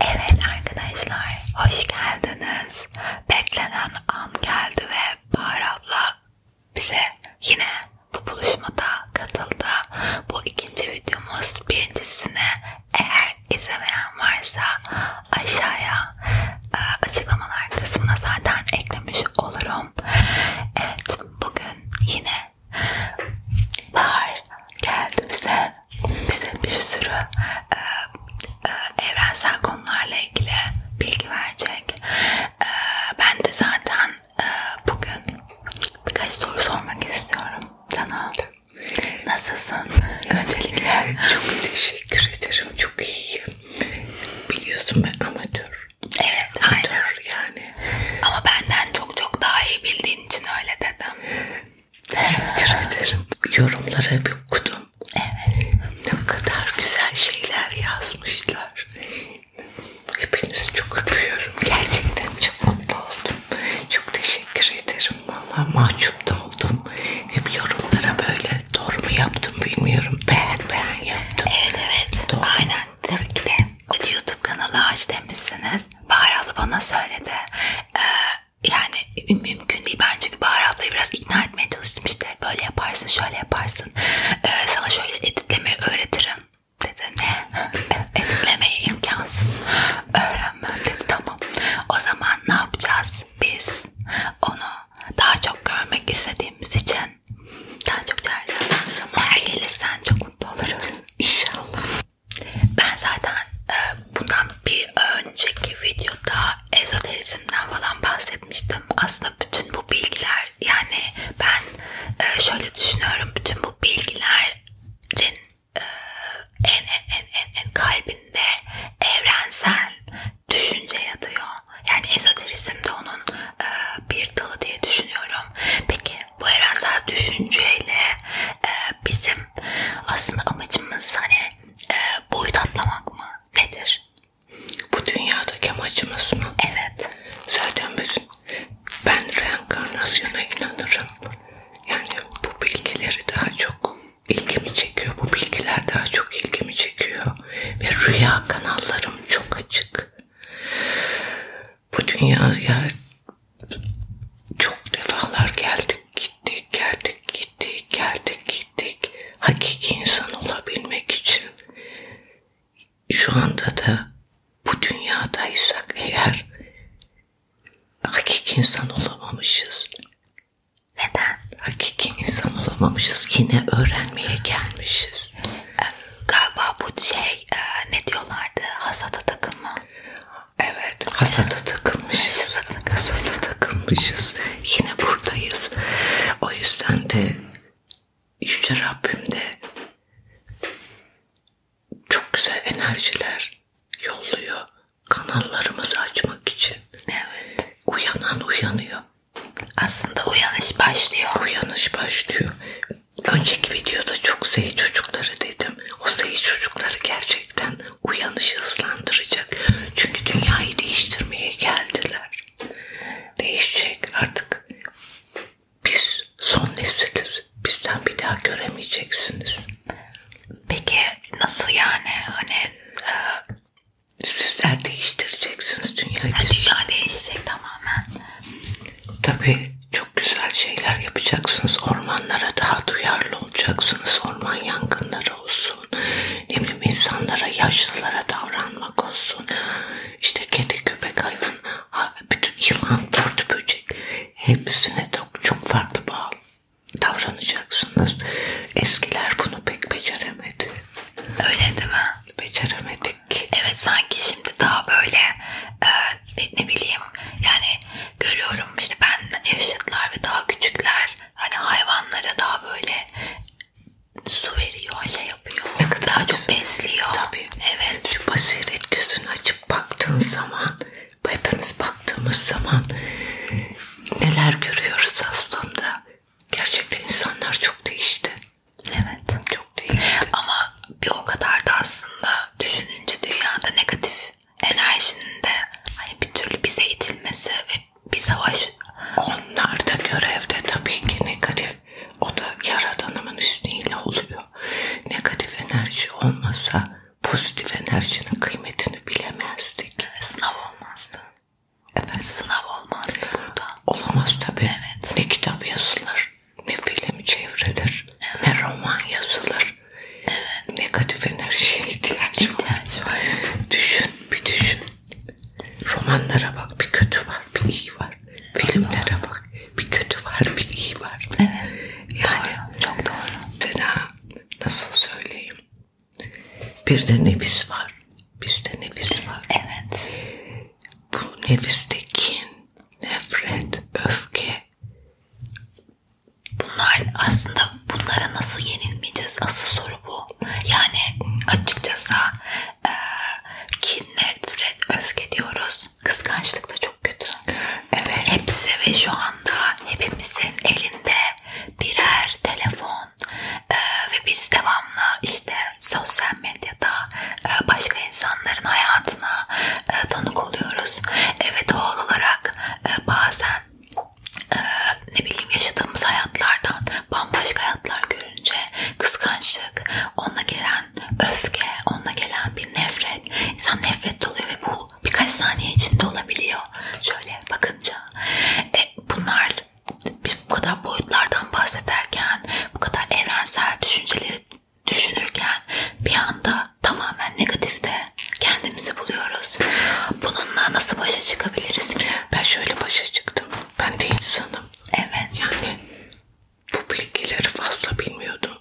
Evet arkadaşlar hoş geldiniz. Beklenen an geldi ve Bahar abla bize yine bu buluşmada katıldı. Bu ikinci videomuz birincisine eğer izlemeyen varsa aşağıya e, açıklamalar kısmına zaten eklemiş olurum. Evet bugün yine Bahar geldi bize bize bir sürü e, e, evrensel konularla ilgili bilgi verecek. E, ben de zaten e, bugün birkaç soru sormak istiyorum sana. Nasılsın? Öncelikle çok teşekkür ederim. Çok iyiyim. Biliyorsun ben amatör. Evet, amatör aynen. yani. Ama benden çok çok daha iyi bildiğin için öyle dedim. Teşekkür ederim. Yorumlara bir okudum. Evet. Ne kadar güzel şeyler yazmışlar. Hepinizi çok öpüyorum. Gerçekten çok mutlu oldum. Çok teşekkür ederim. Valla mahcup da oldum. Hep yorumlara böyle doğru mu yaptım bilmiyorum. Beğen beğen yaptım. Evet evet. Doğru. Aynen. Tabii ki de. YouTube kanalı aç demişsiniz. Bahar abla bana söyledi. Ee, yani mümkün değil ben çünkü Bahar ablayı biraz ikna etmeye çalıştım işte böyle yaparsın şöyle yaparsın ee, sana şöyle editlemeyi öğretirim dedi ne e, editlemeyi imkansız öğrenmem dedi tamam o zaman ne yapacağız biz onu daha çok görmek istediğimiz için daha çok çağıracağız eğer gelirsen çok mutlu oluruz inşallah ben zaten e, bundan bir önceki videoda ezoterizmden falan bahsetmiştim. Aslında bütün bu bilgiler yani ben e, şöyle düşünüyorum. Bütün bu bilgilerin e, en en en en, en kalbinde evrensel düşünce yatıyor. Yani ezoterizm de onun bir dalı diye düşünüyorum. Peki bu evrensel düşünceyle bizim aslında amacımız hani e, boyut atlamak mı? Nedir? Bu dünyadaki amacımız mı? Evet. Zaten biz, ben reenkarnasyona inanırım. Yani bu bilgileri daha çok ilgimi çekiyor. Bu bilgiler daha çok ilgimi çekiyor. Ve rüya kanallarım çok açık. Bu dünyaya çok defalar geldik gittik geldik gittik geldik gittik hakiki insan olabilmek için şu anda da bu dünyadaysak eğer hakiki insan olamamışız. Neden? Hakiki insan olamamışız. Yine öğrenmeye gelmişiz. Ee, galiba bu şey e, ne diyorlardı? Hasada takılma. Evet. Hasata takılmışız. Hasata, hasata takılmışız. Yine buradayız. O yüzden de Yüce Rabbim de çok güzel enerjiler yolluyor kanallarımızı açmak için. Evet. Uyanan uyanıyor. Aslında uyanış başlıyor. Uyanış başlıyor. Önceki videoda çok seyi çocukları dedim. O seyi çocukları gerçekten uyanışı hızlandıracak. Çünkü dünyayı değiştirmeye geldiler. Değişecek artık. Biz son nesiliz. Bizden bir daha göremeyeceksiniz. Peki nasıl yani? Hani e, sizler değiştireceksiniz dünyayı. Yani biz... Dünya değişecek tamamen. Tabii çok güzel şeyler yapacaksınız. Ormanlara daha duyarlı olacaksınız. Orman yangınları olsun. Ne bileyim insanlara, yaşlılara davranmak olsun. İşte kedi, köpek, hayvan, bütün yılan, dört böcek hepsine çok, çok farklı bağlı davranacaksınız. Eskiler bunu pek beceremedi. Öyle değil mi? Beceremedik. Evet sanki şimdi daha böyle e, ne, ne bileyim yani görüyorum işte benden yaşıtlar ve daha küçükler hani hayvanlara daha böyle su veriyor, şey yapıyor. Ne kadar daha güzel. çok besliyor. Tabii. Evet. Şu basiret gözünü açıp baktığın zaman, hepimiz baktığımız zaman neler görüyoruz aslında. Gerçekten insanlar çok değişti. Evet. Çok değişti. Ama bir o kadar da aslında düşününce dünyada negatif enerjinin de hani bir türlü bize itilmesi ve bir savaş. Onlar da görevde tabii ki negatif. O da yaradanımın üstüyle oluyor. Negatif enerji olmasa pozitif enerjinin kıymetini bilemezdik. Sınav olmazdı. Evet. Sınav olmazdı burada. Olamaz tabii. Evet. Ne kitap yazılır, ne film çevrilir, evet. ne roman yazılır. Evet. Negatif enerjiye ihtiyaç var. İhtiyaç var. düşün, bir düşün. Romanlara bak, bir kötü var, bir iyi var. Filmlere bak, bir kötü var, bir iyi var. Evet. Yani doğru. çok doğru. Sana nasıl söyleyeyim? Bir de nefis var. Bizde nefis var. Evet. Bu nefisteki nefret, öfke, Bunlar aslında bunlara nasıl yenilmeyeceğiz asıl soru bu. Yani açıkçası e, kin, nefret, öfke diyoruz. Kıskançlık da çok kötü. Evet. Hepsi ve şu anda hepimizin elinde birer telefon e, ve biz devamlı işte sosyal medyada e, başka insanların hayatına e, tanık oluyoruz. E, ve doğal olarak e, bazen e, ne bileyim yaşadığımız hayatlardan bambaşka hayatlar görünce kıskançlık, onunla gelen öfke, onunla gelen bir nefret, insan nefret doluyor ve bu birkaç saniye içinde olabiliyor. Şöyle bakınca e, bunlar biz bu kadar boyutlardan bahsederken, bu kadar evrensel düşünceleri düşünürken bir anda tamamen negatifte kendimizi buluyoruz. Bununla nasıl başa çıkabiliriz ki? Ben şöyle başa çıktım. Ben de insanım. Evet. Yani bu bilgileri fazla bilmiyordum.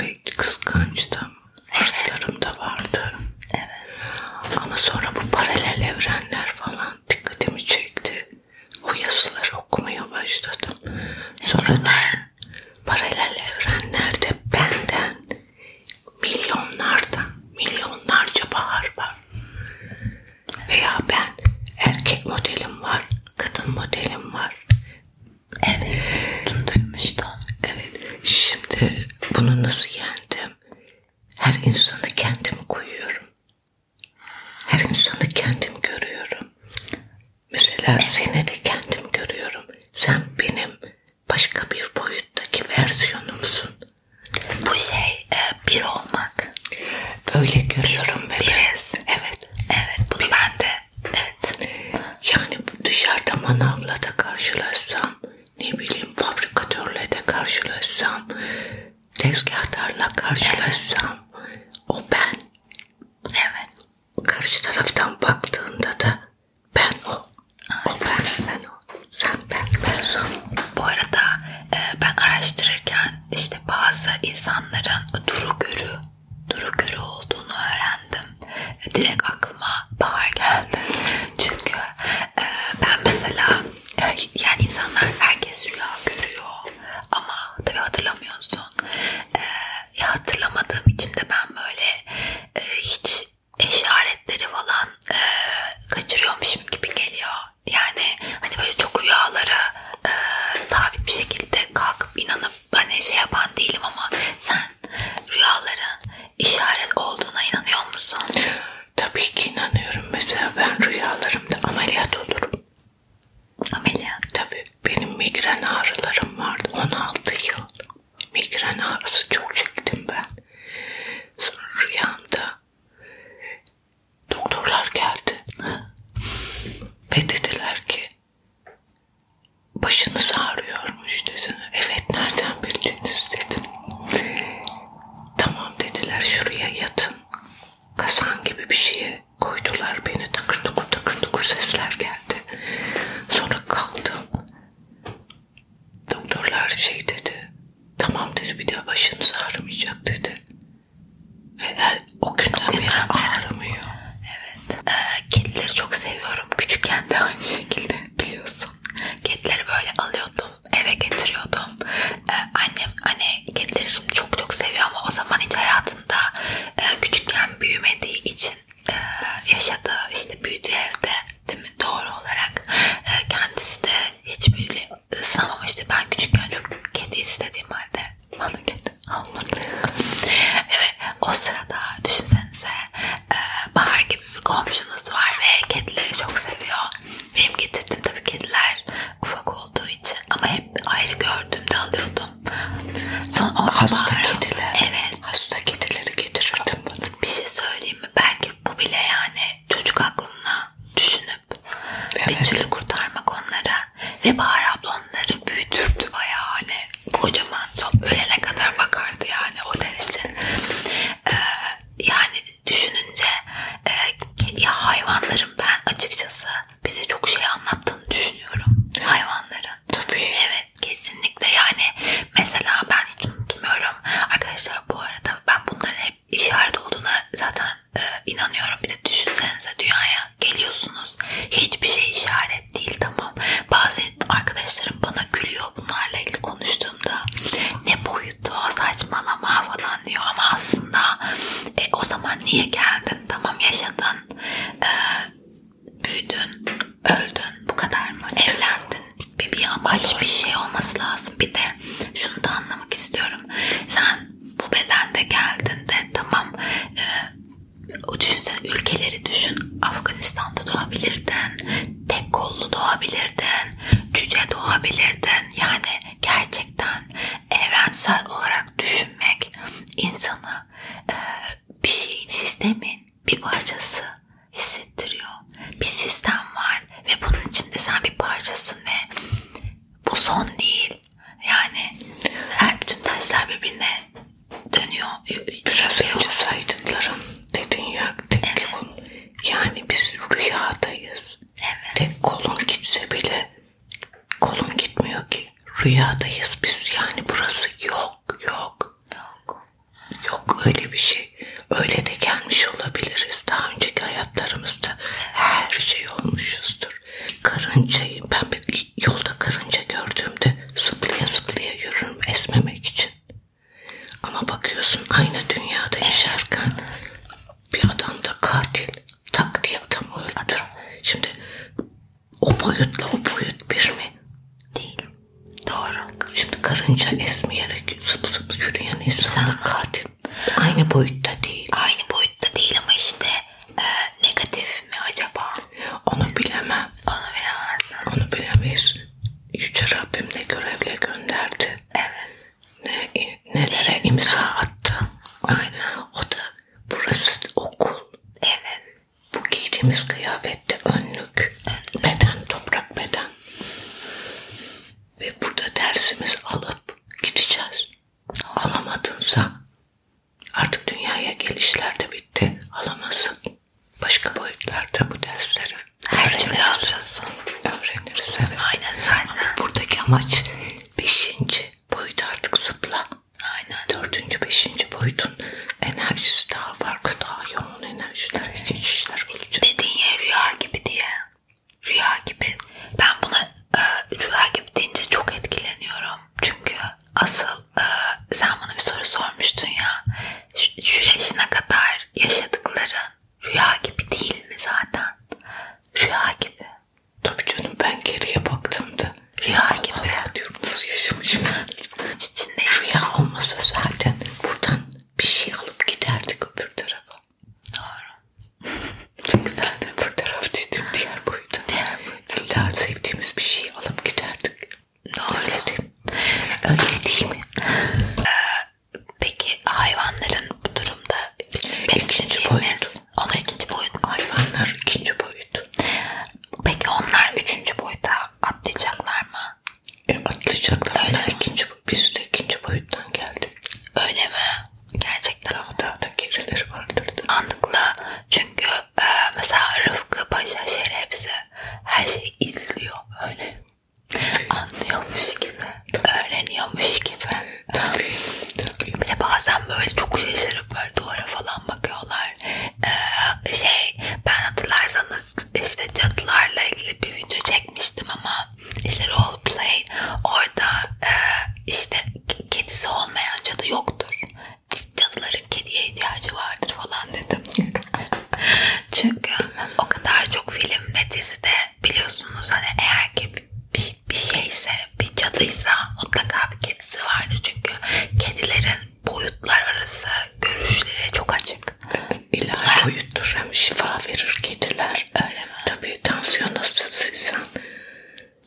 Ve kıskançtım. Hırslarım evet. da vardı. Evet. Ama sonra bu paralel evrenler falan dikkatimi çekti. O yazıları okumaya başladım. Sonra paralel evrenlerde benden milyonlardan milyonlarca bahar var. Veya ben erkek modelim var, kadın modelim var. Evet, duymuştum. Evet, şimdi bunu nasıl yendim? Her insana kendimi koyuyorum. Her insanı kendim görüyorum. Mesela seni de kendim görüyorum. Sen benim başka bir boyuttaki versiyonumsun. Bu şey e, bir olmak. Böyle görüyorum biz, bebeğim. Biz. Evet. Evet bunu bir... ben de. Evet. Yani dışarıda manavla da karşılaşsam, ne bileyim fabrikatörle de karşılaşsam, tezgahtarla karşılaşsam evet. o ben. Evet. Karşı taraftan baktığında da ben o. Ay, ben, ben o. Sen ben, ben son. Bu arada e, ben araştırırken işte bazı insanların duru görü, duru görü olduğunu öğrendim. E, direkt aklıma bahar geldi. Çünkü e, ben mesela yani insanlar herkes rüya görüyor ama tabii hatırlamıyorsun. Ya hatırlamadığım için de ben böyle hiç işaretleri falan e, kaçırıyormuşum gibi geliyor. Yani hani böyle çok rüyalara e, sabit bir şekilde kalkıp inanıp hani şey yapan değilim ama sen rüyaların işaret olduğuna inanıyor musun? Tabii ki inanıyorum. Mesela ben rüyalarımda ameliyat olurum. Ameliyat? Tabii. Benim migren ağrılarım vardı 16 yıl migren ağrısı çok çektim ben. Sonra rüyamda doktorlar geldi ve dediler ki başınız ağrıyormuş dediler. Evet nereden bildiniz dedim. Tamam dediler şuraya yatın. Kasan gibi bir şeye koydular beni takır tukur takır tukur sesler geldi. Sonra kalktım. Doktorlar şey dedi. Tamam dedi bir daha başınız ağrımayacak dedi. Ve el, o günden beri ağrımıyor. Evet. Ee, kedileri çok seviyorum. Küçükken de aynı şekilde biliyorsun. Kedileri böyle alıyordum. Eve getiriyordum. Ee, annem hani kedileri şimdi çok çok seviyor ama o zaman hiç hayatında e, küçükken büyümediği için e, yaşadığı işte büyüdüğü evde değil mi doğru olarak e, kendisi de hiç böyle ısınamamıştı. Ben küçükken çok kedi istediğim halde bana kedi almadı. evet o sırada düşünsenize e, bahar gibi bir komşunuz var ve kedileri çok seviyor. Benim getirdim tabii kediler ufak olduğu için ama hep ayrı gördüğümde alıyordum. Sonra hasta bahar, kediler. Evet ben hasta kedileri getirirdim bana. Bir şey söyleyeyim mi? Belki bu bile yani çocuk aklına düşünüp evet. bir türlü kurtarmak onlara ve Bahar abla onları büyütürdü bayağı hani kocaman son ölene kadar bakardı yani o derece. Ee, yani düşününce e, ya hayvanların ben açıkçası bize çok şey anlattığını düşünüyorum. Hayvanların. Tabii. Evet. Evet kesinlikle yani mesela ben hiç unutmuyorum arkadaşlar bu arada ben bunların hep işaret olduğuna zaten e, inanıyorum bir de düşünsenize dünyaya geliyorsunuz hiçbir şey işaret değil tamam bazen arkadaşlarım bana gülüyor bunlarla ilgili konuştuğumda ne boyutu saçmalama falan diyor ama aslında e, o zaman niye geldin tamam yaşadın e, büyüdün, öldün, bu kadar mı? Evlendin. Bebeği amaç bir şey olması lazım. Bir de şunu da anlamak istiyorum. Sen bu bedende geldin de tamam e, o düşünsene ülkeleri düşün. Afganistan'da doğabilirdin. Tek kollu doğabilirdin. Cüce doğabilirdin. Yani gerçekten evrensel olarak düşünmek insanı e, bir şeyin sistemin bir parçası hissettiriyor. Bir sistem var ve bunun içinde sen bir parçasın ve bu son değil. Yani her bütün taşlar birbirine dönüyor. Biraz dönüyor. önce saydıklarım dedin ya tek evet. kol. Yani biz rüyadayız. Evet. Tek kolun gitse bile kolun gitmiyor ki. Rüyadayız biz yani burası yok yok. Yok. Yok öyle bir şey. Öyle de gelmiş olabiliriz. Daha önceki hayatlarımızda her şey olmuşuzdur. Karıncayı ben bir yolda karınca gördüğümde zıplaya zıplaya yürürüm esmemek için. Ama bakıyorsun aynı dünyada yaşarken bir adam da katil tak diye adamı öldür. Şimdi o boyutla o boyut bir mi? Değil. Doğru. Şimdi karınca esmeyerek sıp sıp yürüyen insanlar katil. Aynı boyutta değil. Aynı boyutta değil ama işte e, negatif mi acaba? Onu bilemem. Onu bilemezsin. Onu bilemeyiz. Yüce Rabbim ne görevle gönderdi. Evet. Ne, nelere imza attı. Aynen. O da burası okul. Evet. Bu giydiğimiz kıyafette önlük, beden, toprak beden. Ve burada dersimiz alıp gideceğiz. Alamadınsa artık dünyaya gelişler de bitti. Alamazsın. Başka boyutlarda bu dersleri. Her türlü alıyorsun. Öğreniriz evet. Aynen zaten. Ama buradaki amaç beşinci boyut artık zıpla. Aynen. Dördüncü, beşinci boyut olsun. Enerjisi daha farklı, daha yoğun enerjiler, geçişler olacak. Dediğin ya rüya gibi diye. Rüya gibi. Ben buna e, rüya gibi deyince çok etkileniyorum. Çünkü asıl e, sen bana bir soru sormuştun ya. Şu, şu yaşına kadar yaşadıkların rüya gibi değil mi zaten? Rüya gibi. Tabii canım ben geriye baktığımda rüya Allah gibi. Allah diyorum nasıl yaşamışım ben içinde rüya olmasa zaten buradan bir şey alıp giderdik öbür tarafa. Doğru. Çok güzel de öbür taraf dedim diğer boyuta. Diğer boyuta. İlla sevdiğimiz bir şey alıp giderdik. Doğru. Öyle değil, Öyle değil mi? ee, peki hayvanların bu durumda beslediğimiz... boyut. Ona ikinci boyut. Hayvanlar ikinci boyut. Peki onlar üçüncü boyuta atlayacaklar mı? E atlayacaklar. Öyle ikinci, biz de ikinci boyuttan geldik. Öyle mi? Gerçekten. Daha daha da gerileri vardır. Anlıklı. Çünkü e, mesela Rıfkı, Paşa, Şerefsi her şeyi izliyor. Öyle. Anlıyormuş gibi. Öğreniyormuş gibi. Tabii. Tabii. Bir de bazen böyle çok şaşırıp böyle duvara falan bakıyorlar e, şey ben hatırlarsanız işte cadılarla ilgili bir video çekmiştim ama işte role play orada e, işte kedisi olmayan cadı yoktur. Cadıların kediye ihtiyacı vardır falan dedim. Çünkü o kadar çok film ve dizide biliyorsunuz hani eğer ki bir, bir şeyse bir cadıysa mutlaka bir kedisi vardır çünkü kedilerin boyutlar arası görüşlere çok açık. İlahi Bunlar... boyuttur. Hem şifa verir kediler. Öyle mi? Tabii tansiyon hastasıysan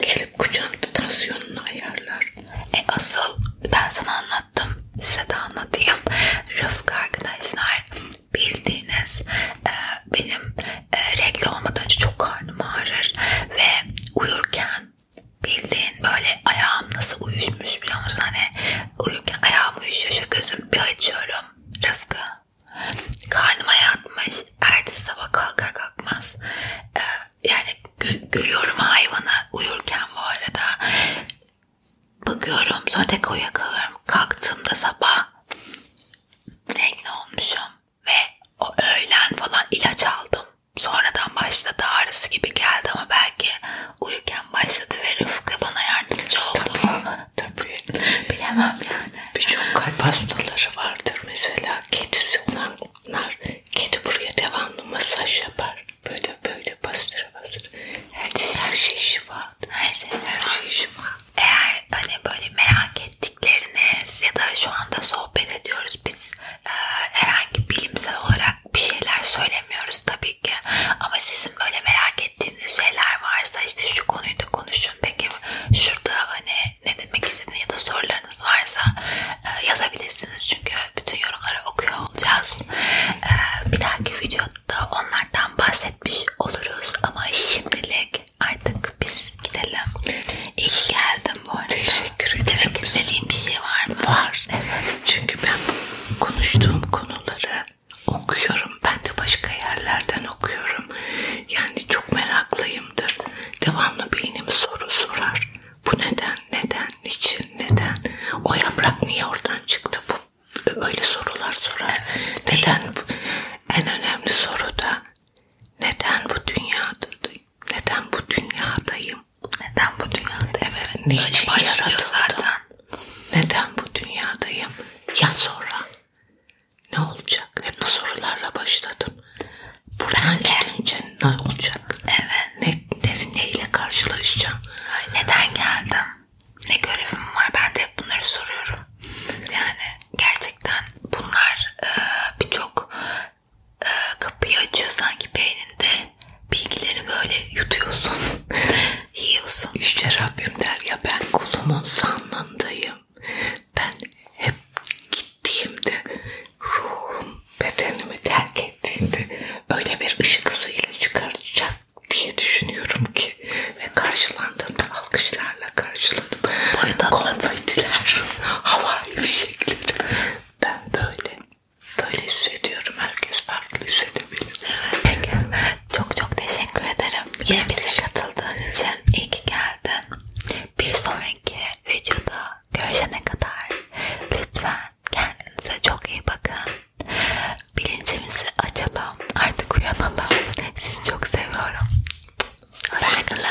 gelip kucağında tansiyonunu ayarlar. E asıl ben sana anlattım. Size de anlatayım. Rıfkı arkadaşlar bildiğiniz e, benim e, renkli olmadan önce çok karnım ağrır ve uyurken bildiğin böyle ayağım nasıl uyuşmuş biliyor musun? Hani uyurken ayağım uyuşuyor. Şu gözüm bir açıyorum. Rıfkı. Karnıma yatmış. Ertesi sabah kalkar kalkmaz. Ee, yani gö görüyorum hayvanı uyurken bu arada. Bakıyorum sonra tek uyuyakalıyorum. Kalktığımda sabah renkli olmuşum. Ve o öğlen falan ilaç aldım. Sonradan başladı ağrısı gibi geldi ama belki uyurken konuşmam başladı ve Rıfkı bana yardımcı oldu. Tabii. tabii. Bilemem yani. Birçok kalp hastaları vardır mesela. Kedisi olanlar kedi buraya devamlı masaj yapar. Böyle böyle bastıra bastıra. Her, her şey şifa. Her şey, her şey şifa. Şey şey Eğer hani böyle merak ettikleriniz ya da şu anda sohbet ediyoruz biz e, herhangi bilimsel olarak olarak bir şeyler söylemiyoruz tabii ki. Ama sizin böyle merak ettiğiniz şeyler varsa işte şu konuyu da konuşun. Peki şurada hani ne demek istediğiniz ya da sorularınız varsa e, yazabilirsiniz. Çünkü bütün yorumları okuyor olacağız. E, bir dahaki videoda onlardan bahsetmiş oluruz. Ama şimdilik artık biz gidelim. İyi ki geldim bu arada. Teşekkür ederim. Demek istediğim bir şey var mı? Var. Evet. Çünkü ben konuştuğum konuları okuyorum. Ben de başka yerlerden okuyorum. Yani çok meraklıyımdır. Devamlı beynim soru sorar. Bu neden, neden, niçin, neden? O yaprak niye oradan çıktı? Bu öyle sorular sorar. Evet, neden? Bu? En önemli soru da neden bu dünyada? Neden bu dünyadayım? Neden bu dünyada? Evet, niçin yaratıldım? Şey zaten. Neden bu dünyadayım? Ya sonra? Ne olacak? Hep bu sorularla başladım. Buradan ben gidince ne olacak? Evet. Ne, ne, neyle karşılaşacağım? Ay, neden geldim? Ne görevim var? Ben de hep bunları soruyorum. Yani gerçekten bunlar e, birçok e, kapıyı açıyor sanki beyninde bilgileri böyle yutuyorsun, yiyorsun. İşte Rabbim der ya ben kulumun sanlığındayım. Ben hep gittiğimde ruhum bedenimi terk ettiğinde öyle bir ışık hızıyla çıkartacak diye düşünüyorum ki ve karşılandığımda alkışlarla karşıladım. Konfetiler, havai fişekleri. Ben böyle böyle hissediyorum. Herkes farklı hissedebilir. Evet. Peki. Çok çok teşekkür ederim. Yine bize katıldığın için iyi ki geldin. Bir sonraki videoda görüşene kadar lütfen kendinize çok iyi bakın. Bilincimizi açalım. Artık uyanalım. Sizi çok seviyorum. Hoşçakalın.